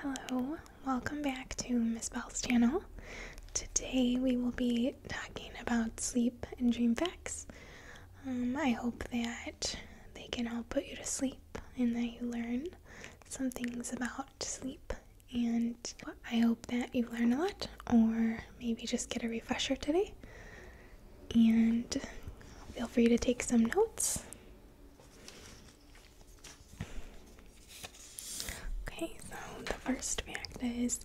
Hello, welcome back to Miss Bell's channel. Today we will be talking about sleep and dream facts. Um, I hope that they can help put you to sleep and that you learn some things about sleep. And I hope that you learn a lot or maybe just get a refresher today. And feel free to take some notes. Okay, so the first fact is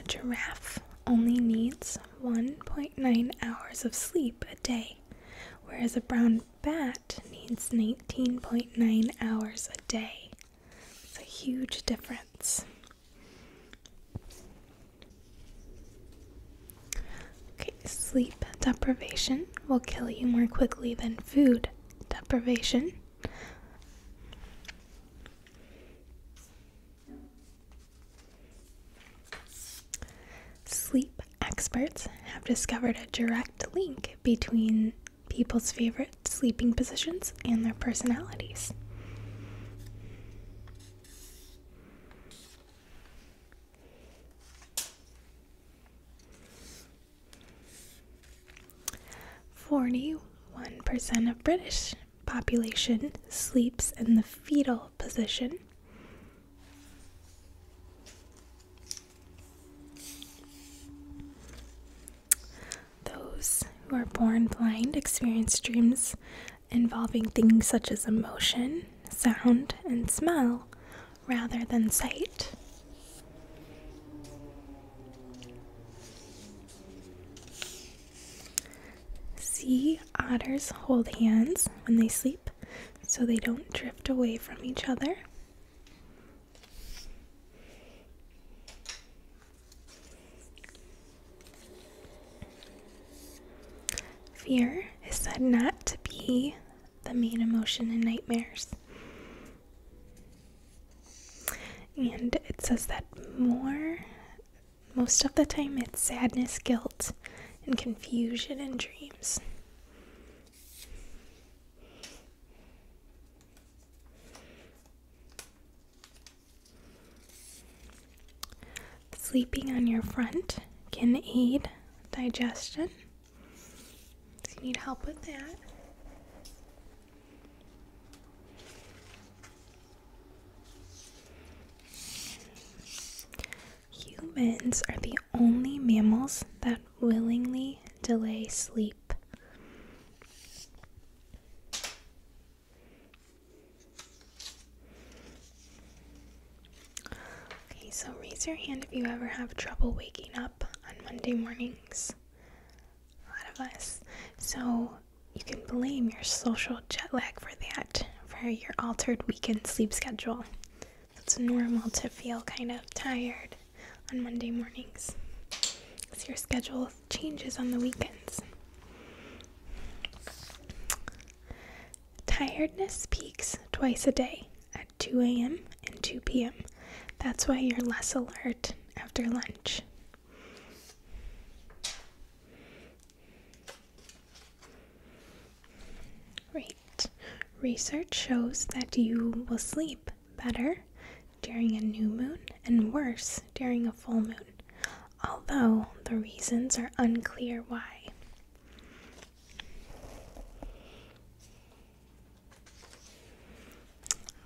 a giraffe only needs 1.9 hours of sleep a day, whereas a brown bat needs 19.9 hours a day. It's a huge difference. Okay, sleep deprivation will kill you more quickly than food deprivation. Sleep experts have discovered a direct link between people's favorite sleeping positions and their personalities. 41% of British population sleeps in the fetal position. Those who are born blind experience dreams involving things such as emotion, sound, and smell, rather than sight. Sea otters hold hands when they sleep so they don't drift away from each other. Fear is said not to be the main emotion in nightmares. And it says that more, most of the time, it's sadness, guilt, and confusion in dreams. Sleeping on your front can aid digestion. So you need help with that. Humans are the only mammals that willingly delay sleep. Okay, so raise your hand if you ever have trouble waking up on Monday mornings. A lot of us. So you can blame your social jet lag for that, for your altered weekend sleep schedule. It's normal to feel kind of tired on Monday mornings. So your schedule changes on the weekends. Tiredness peaks twice a day at 2 a.m. and 2 p.m. That's why you're less alert after lunch. Great. Research shows that you will sleep better during a new moon and worse during a full moon, although the reasons are unclear why.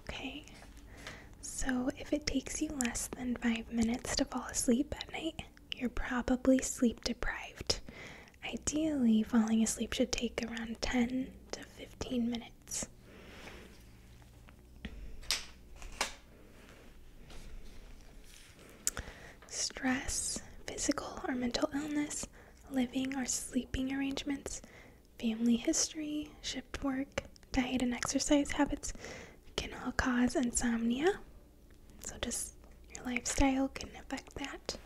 Okay, so if it takes you less than five minutes to fall asleep at night, you're probably sleep deprived. Ideally, falling asleep should take around 10 to 15 minutes stress, physical or mental illness, living or sleeping arrangements, family history, shift work, diet and exercise habits can all cause insomnia. So, just your lifestyle can affect that.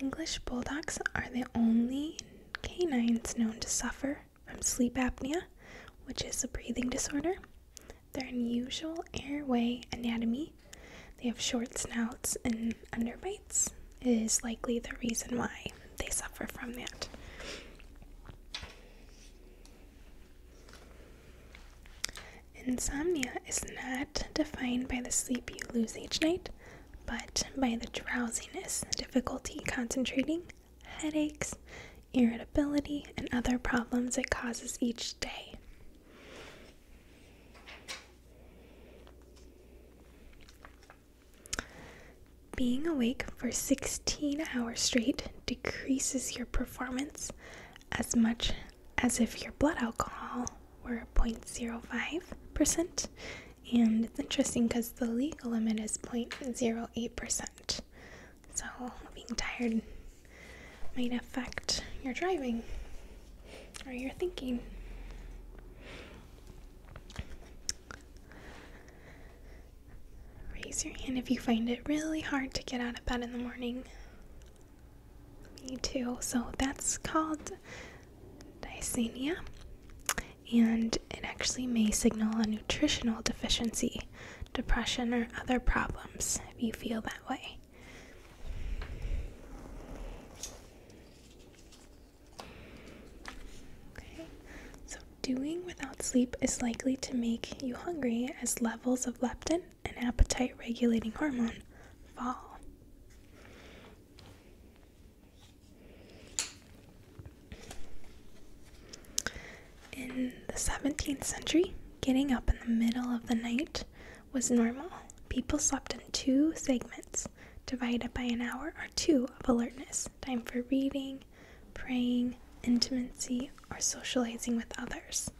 English bulldogs are the only canines known to suffer from sleep apnea, which is a breathing disorder. Their unusual airway anatomy, they have short snouts and underbites, is likely the reason why they suffer from that. Insomnia is not defined by the sleep you lose each night, but by the drowsiness, difficulty concentrating, headaches, irritability, and other problems it causes each day. Being awake for 16 hours straight decreases your performance as much as if your blood alcohol were 0.05% and it's interesting because the legal limit is 0.08%. So being tired might affect your driving or your thinking. Raise your hand if you find it really hard to get out of bed in the morning. Me too. So that's called dysenia and it actually may signal a nutritional deficiency, depression, or other problems if you feel that way. so doing without sleep is likely to make you hungry as levels of leptin, an appetite regulating hormone, fall. In the 17th century, getting up in the middle of the night was normal. People slept in two segments, divided by an hour or two of alertness, time for reading, praying, intimacy, or socializing with others.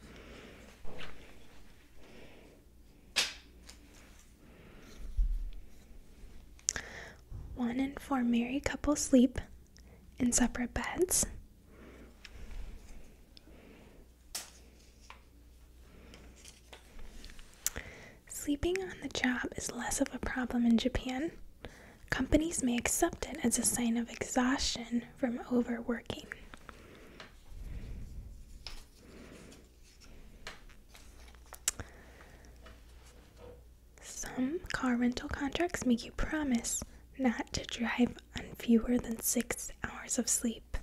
One in four married couples sleep in separate beds. Sleeping on the job is less of a problem in Japan. Companies may accept it as a sign of exhaustion from overworking. Some car rental contracts make you promise not to drive on fewer than six hours of sleep.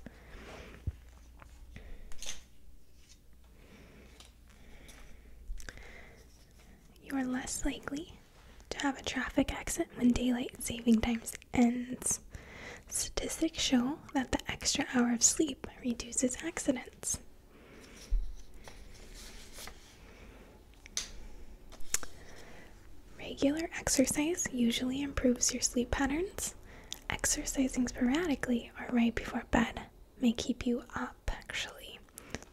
You are less likely to have a traffic accident when daylight saving times ends. Statistics show that the extra hour of sleep reduces accidents. Regular exercise usually improves your sleep patterns. Exercising sporadically or right before bed may keep you up actually.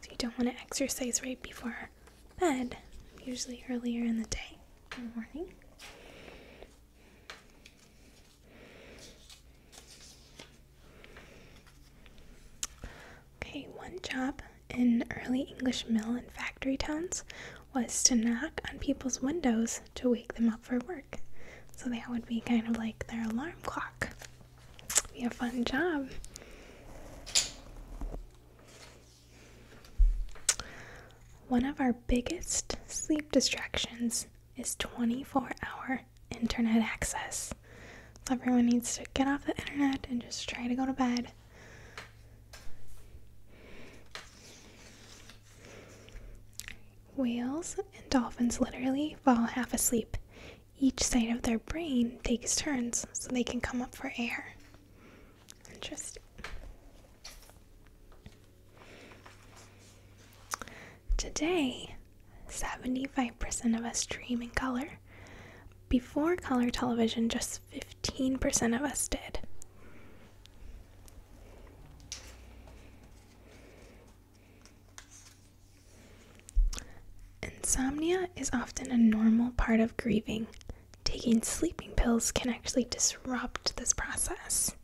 So you don't want to exercise right before bed, usually earlier in the day, in the morning. Okay, one job in early English mill and factory towns was to knock on people's windows to wake them up for work. So that would be kind of like their alarm clock. Be a fun job. One of our biggest sleep distractions is 24 hour internet access. So everyone needs to get off the internet and just try to go to bed. Whales and dolphins literally fall half asleep. Each side of their brain takes turns so they can come up for air. Interesting. Today, 75% of us dream in color. Before color television, just 15% of us did. Insomnia is often a normal part of grieving. Taking sleeping pills can actually disrupt this process.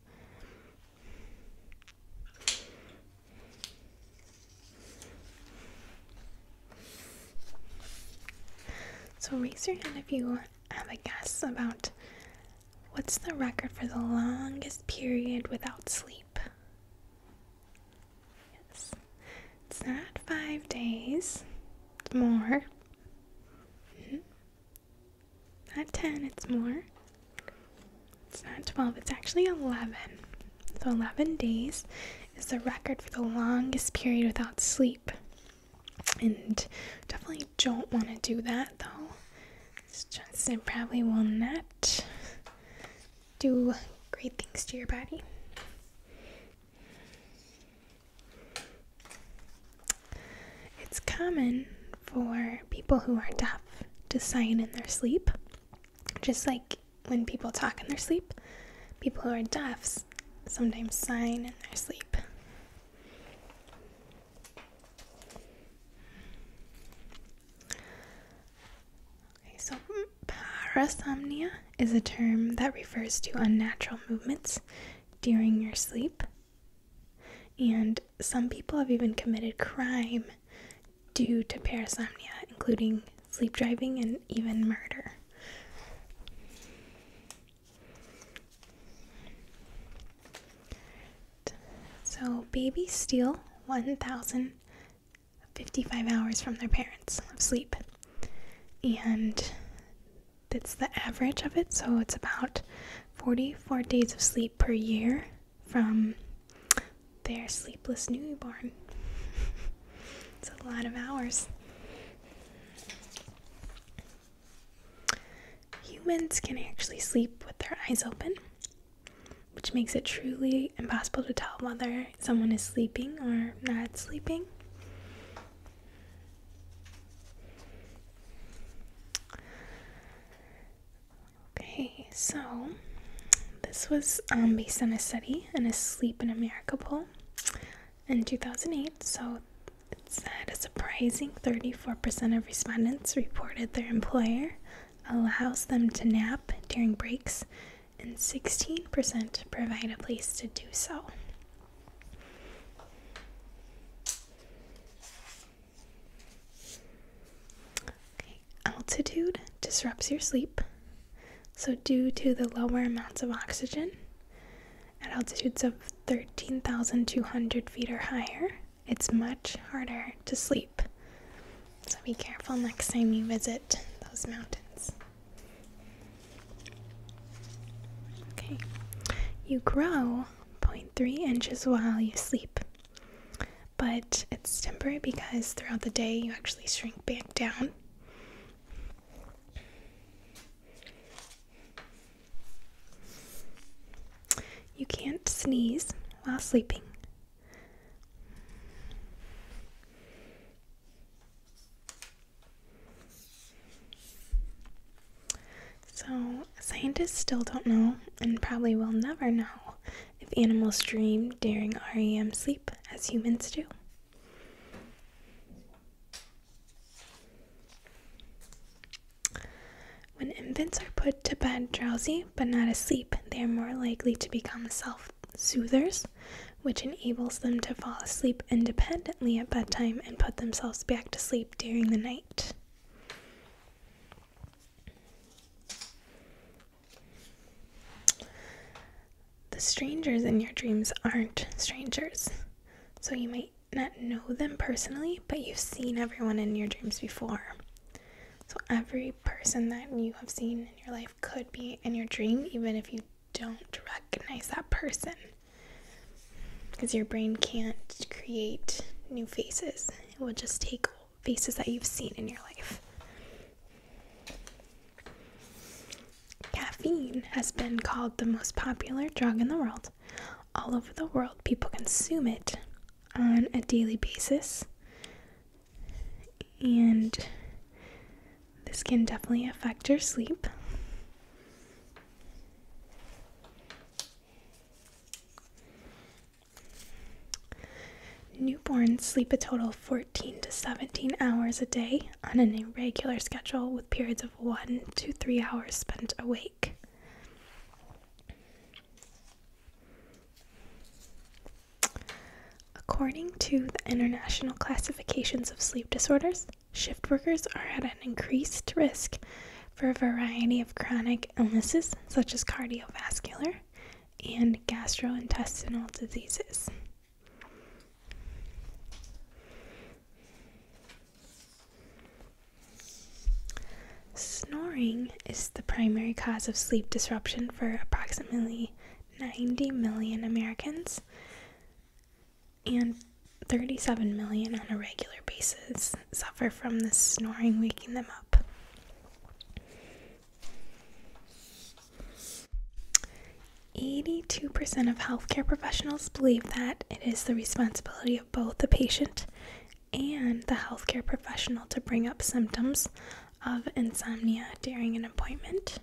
So raise your hand if you have a guess about what's the record for the longest period without sleep. Yes. It's not five days. more. -hmm. Not 10, it's more. It's not 12, it's actually 11. So 11 days is the record for the longest period without sleep. And definitely don't want to do that though. It's just, probably will not do great things to your body. It's common for people who are deaf to sign in their sleep, just like when people talk in their sleep. People who are deaf sometimes sign in their sleep. Okay, so parasomnia is a term that refers to unnatural movements during your sleep. And some people have even committed crime due to parasomnia, including sleep driving and even murder. So, babies steal 1,055 hours from their parents of sleep. And that's the average of it, so it's about 44 days of sleep per year from their sleepless newborn. it's a lot of hours. Humans can actually sleep with their eyes open, which makes it truly impossible to tell whether someone is sleeping or not sleeping. Okay, so this was um, based on a study in a Sleep in America poll in 2008. So it said a surprising 34% of respondents reported their employer allows them to nap during breaks, and 16% provide a place to do so altitude disrupts your sleep. So, due to the lower amounts of oxygen at altitudes of 13,200 feet or higher, it's much harder to sleep. So, be careful next time you visit those mountains. Okay, you grow Point three inches while you sleep. But it's temporary because throughout the day you actually shrink back down. You can't sneeze while sleeping. So, scientists still don't know, and probably will never know, if animals dream during REM sleep as humans do. When infants are put to bed drowsy but not asleep, they are more likely to become self soothers, which enables them to fall asleep independently at bedtime and put themselves back to sleep during the night. The strangers in your dreams aren't strangers. So you might not know them personally, but you've seen everyone in your dreams before. So every person that you have seen in your life could be in your dream, even if you don't recognize that person because your brain can't create new faces. It will just take faces that you've seen in your life. Caffeine has been called the most popular drug in the world. All over the world, people consume it on a daily basis. And this can definitely affect your sleep. Newborns sleep a total of 14 to 17 hours a day on an irregular schedule with periods of 1 to 3 hours spent awake. According to the International Classifications of Sleep Disorders, shift workers are at an increased risk for a variety of chronic illnesses such as cardiovascular and gastrointestinal diseases. Snoring is the primary cause of sleep disruption for approximately 90 million Americans and 37 million on a regular basis suffer from the snoring waking them up. Eighty-two percent of healthcare professionals believe that it is the responsibility of both the patient and the healthcare professional to bring up symptoms of insomnia during an appointment.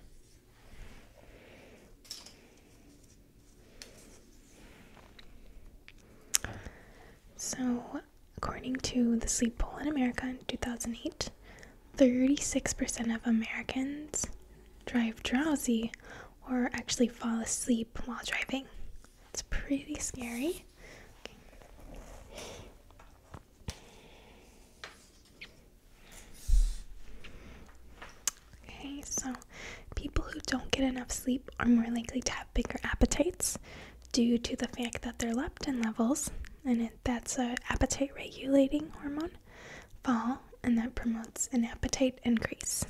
So, according to the Sleep Poll in America in 2008, 36% of Americans drive drowsy or actually fall asleep while driving. It's pretty scary. Okay, so people who don't get enough sleep are more likely to have bigger appetites due to the fact that their leptin levels, and that's an appetite regulating hormone, fall, and that promotes an appetite increase.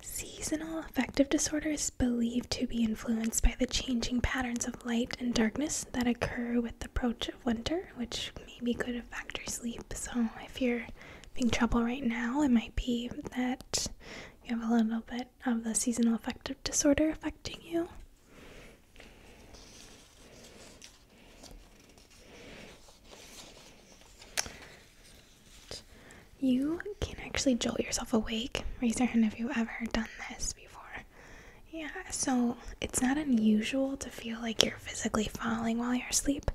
Seasonal affective disorder is believed to be influenced by the changing patterns of light and darkness that occur with the approach of winter, which maybe could affect your sleep. So if you're having trouble right now, it might be that you have a little bit of the seasonal affective disorder affecting you. You can actually jolt yourself awake. Raise your hand if you've ever done this before. Yeah, so it's not unusual to feel like you're physically falling while you're asleep.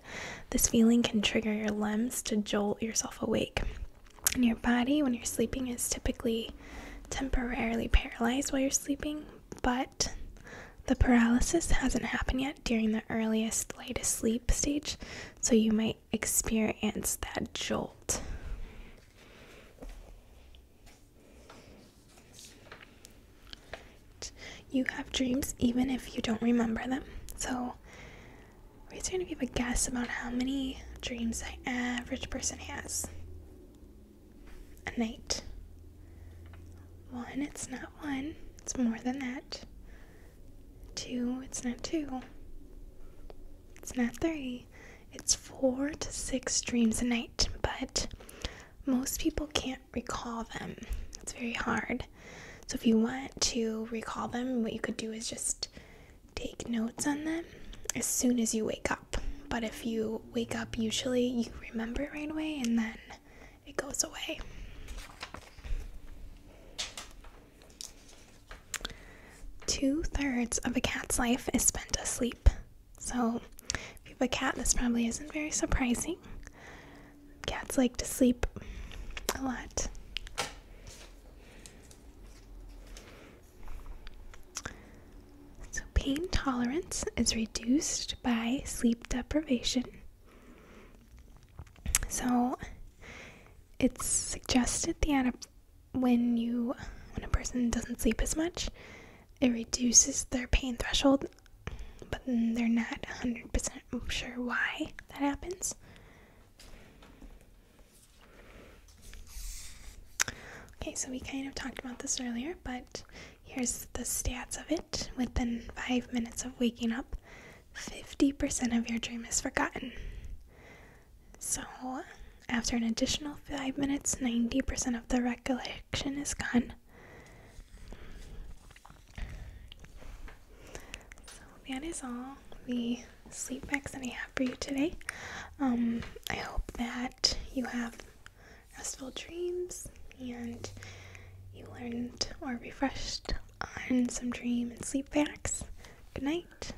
This feeling can trigger your limbs to jolt yourself awake. And your body, when you're sleeping, is typically temporarily paralyzed while you're sleeping, but the paralysis hasn't happened yet during the earliest, lightest sleep stage, so you might experience that jolt. You have dreams even if you don't remember them. So, i are just going to give a guess about how many dreams an average person has a night. One, it's not one, it's more than that. Two, it's not two, it's not three, it's four to six dreams a night, but most people can't recall them. It's very hard. So, if you want to recall them, what you could do is just take notes on them as soon as you wake up. But if you wake up, usually you remember it right away and then it goes away. Two thirds of a cat's life is spent asleep. So, if you have a cat, this probably isn't very surprising. Cats like to sleep a lot. So, pain tolerance is reduced by sleep deprivation. So, it's suggested the when you when a person doesn't sleep as much, it reduces their pain threshold, but they're not 100% sure why that happens. Okay, so we kind of talked about this earlier, but here's the stats of it. Within five minutes of waking up, 50% of your dream is forgotten. So, after an additional five minutes, 90% of the recollection is gone. So, that is all the sleep facts that I have for you today. Um, I hope that you have restful dreams and you learned or refreshed on some dream and sleep facts. Good night.